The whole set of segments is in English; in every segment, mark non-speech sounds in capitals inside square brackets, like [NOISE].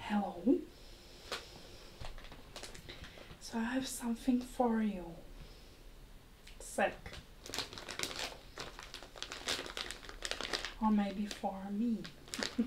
Hello. So I have something for you. Sick. Or maybe for me. [LAUGHS]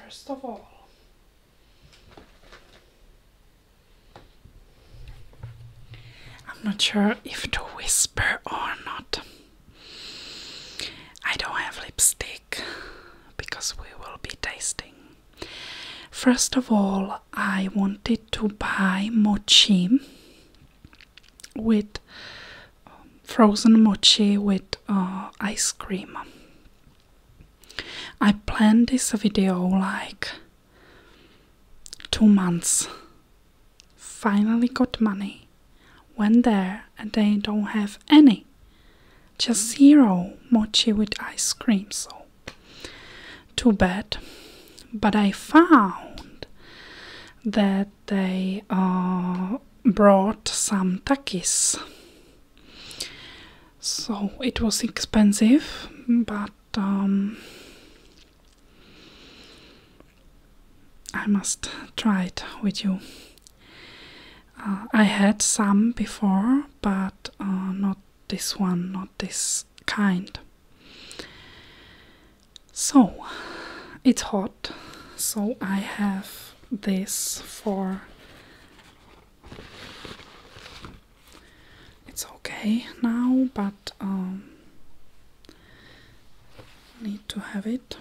First of all, I'm not sure if to whisper or not. I don't have lipstick because we will be tasting. First of all, I wanted to buy mochi with um, frozen mochi with uh, ice cream. I planned this video like two months. Finally got money. Went there and they don't have any. Just zero mochi with ice cream, so too bad. But I found that they brought some takis. So it was expensive, but um, I must try it with you. Uh, I had some before, but uh, not this one, not this kind. So it's hot, so I have this for it's okay now, but um, need to have it.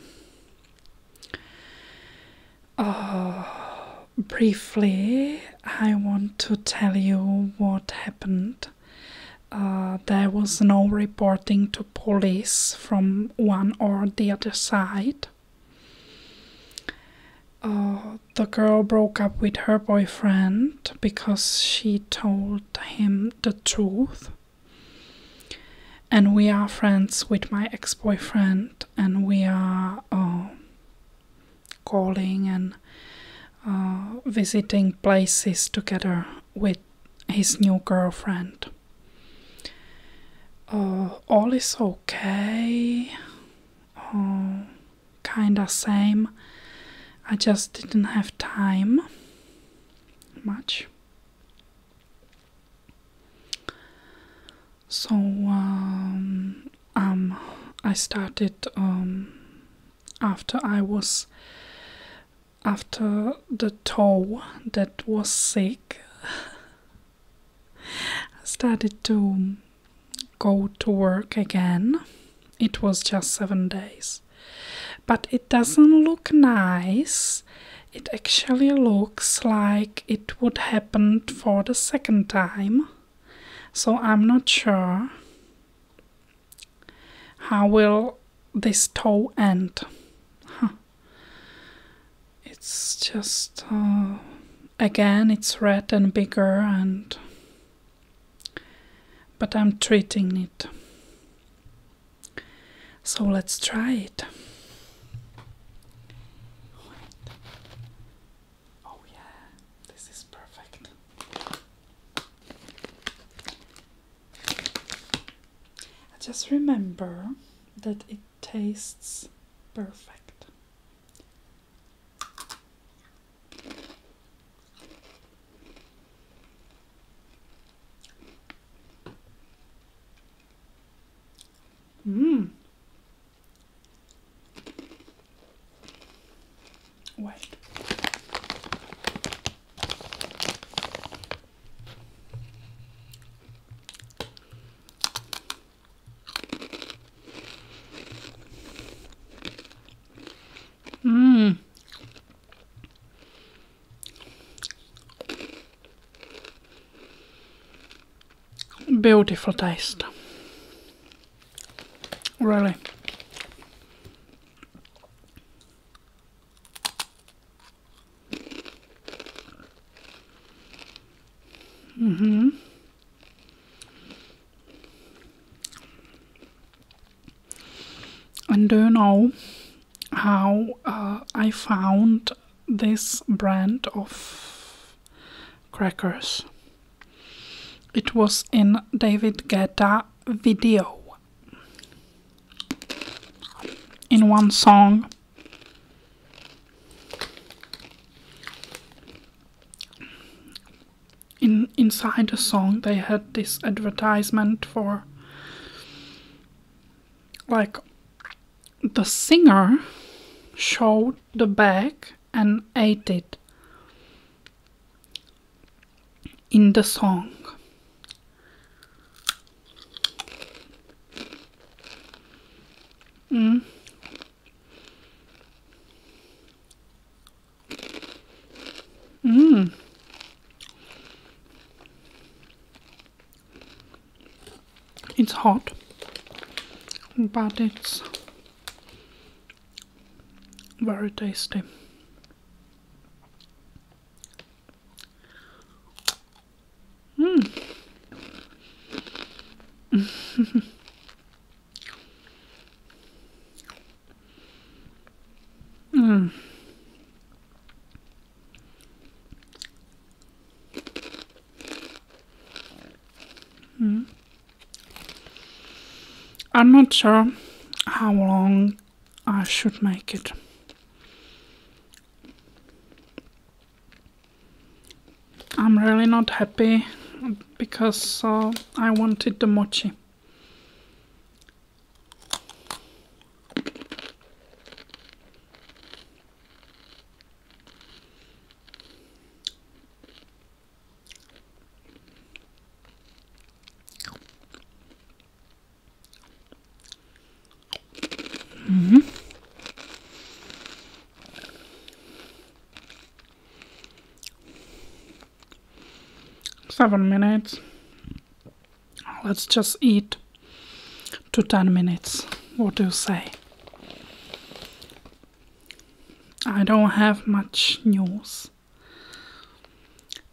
Uh, briefly, I want to tell you what happened uh, there was no reporting to police from one or the other side. Uh, the girl broke up with her boyfriend because she told him the truth. And we are friends with my ex boyfriend, and we are um, calling and uh, visiting places together with his new girlfriend. Uh, all is okay. Uh, kinda same. I just didn't have time much. So um, um, I started um, after I was after the toe that was sick, I started to go to work again. It was just seven days. But it doesn't look nice. It actually looks like it would happen for the second time. So I'm not sure. How will this toe end? It's just uh, again, it's red and bigger, and but I'm treating it. So let's try it. Oh, I just remember that it tastes perfect. Mmm. Wait. Mmm. Beautiful taste. Really. Mm-hmm. And do you know how uh, I found this brand of crackers? It was in David Guetta video in one song. In inside the song, they had this advertisement for like the singer showed the bag and ate it in the song. Mm. Mm. It's hot, but it's very tasty. Hmm. mm. Mm. I'm not sure how long I should make it. I'm really not happy because uh, I wanted the mochi hmm Seven minutes. Let's just eat Two ten minutes. What do you say? I don't have much news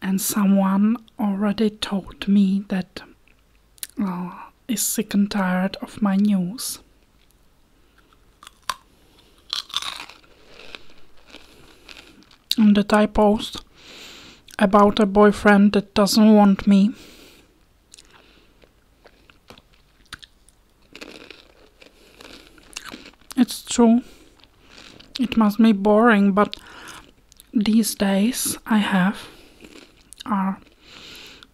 and someone already told me that uh, is sick and tired of my news. And that I post about a boyfriend that doesn't want me. It's true. It must be boring, but these days I have are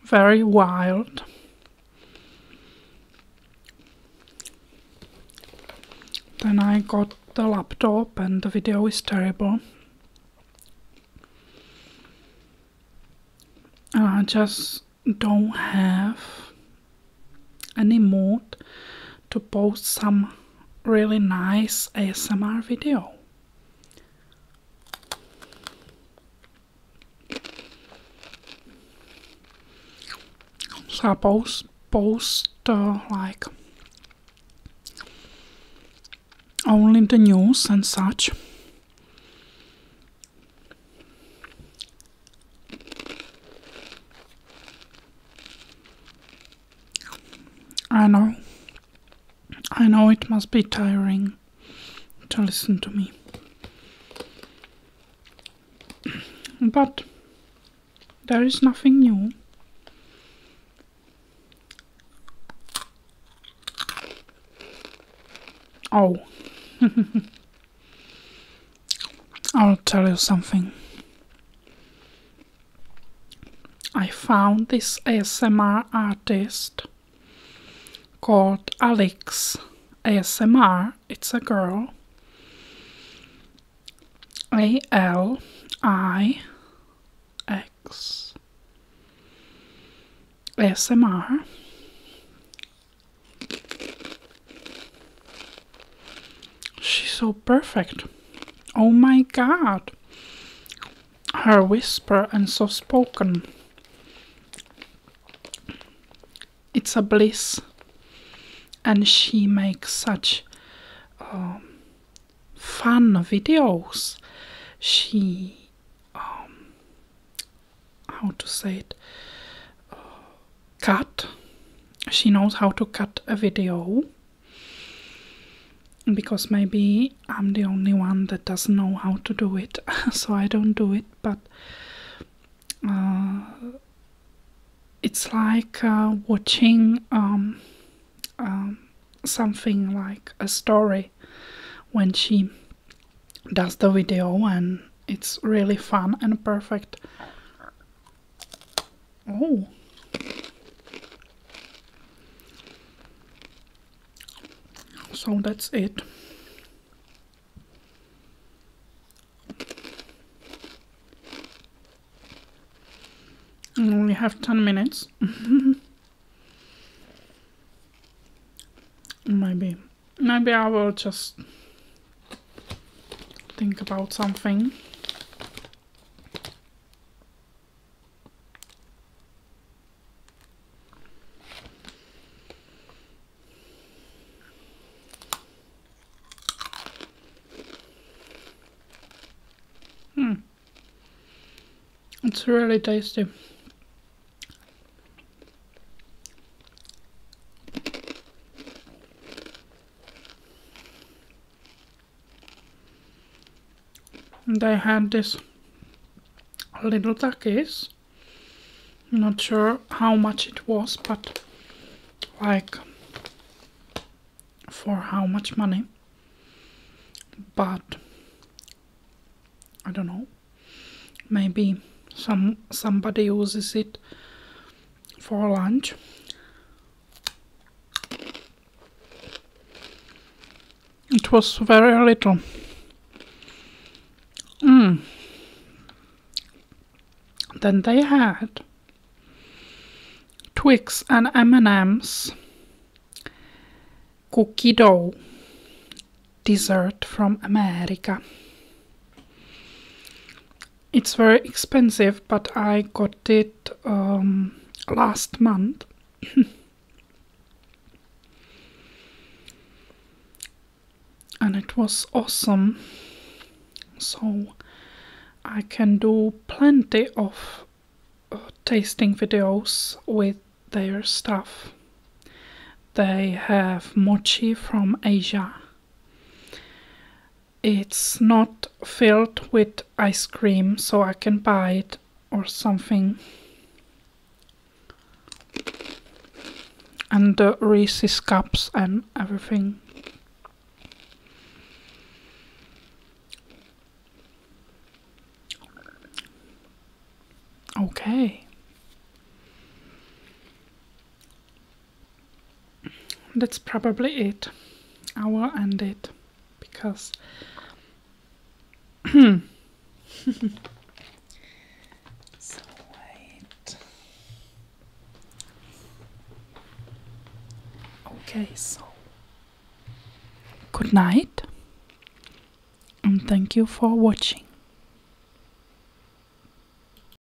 very wild. Then I got the laptop and the video is terrible. And I just don't have any mood to post some really nice ASMR video. So I post, post uh, like only the news and such. I know. I know it must be tiring to listen to me. but there is nothing new. Oh. [LAUGHS] I'll tell you something. I found this ASMR artist called Alex ASMR. It's a girl. A L I X ASMR. She's so perfect. Oh my god. Her whisper and so spoken. It's a bliss. And she makes such um, fun videos. She, um, how to say it, uh, cut. She knows how to cut a video because maybe I'm the only one that doesn't know how to do it, [LAUGHS] so I don't do it. But uh, it's like uh, watching um, um, something like a story when she does the video, and it's really fun and perfect. Oh. So that's it. We have 10 minutes. [LAUGHS] maybe. Maybe I will just think about something. Hmm. It's really tasty. And I had this little takis. Not sure how much it was, but like for how much money. But I don't know. Maybe some somebody uses it for lunch. It was very little. Mm. Then they had Twix and M&M's cookie dough dessert from America. It's very expensive, but I got it um, last month. [CLEARS THROAT] and it was awesome. So I can do plenty of uh, tasting videos with their stuff. They have mochi from Asia it's not filled with ice cream so I can buy it or something. And the Reese's cups and everything. Okay. That's probably it. I will end it because [LAUGHS] so wait. Okay, so good night and thank you for watching.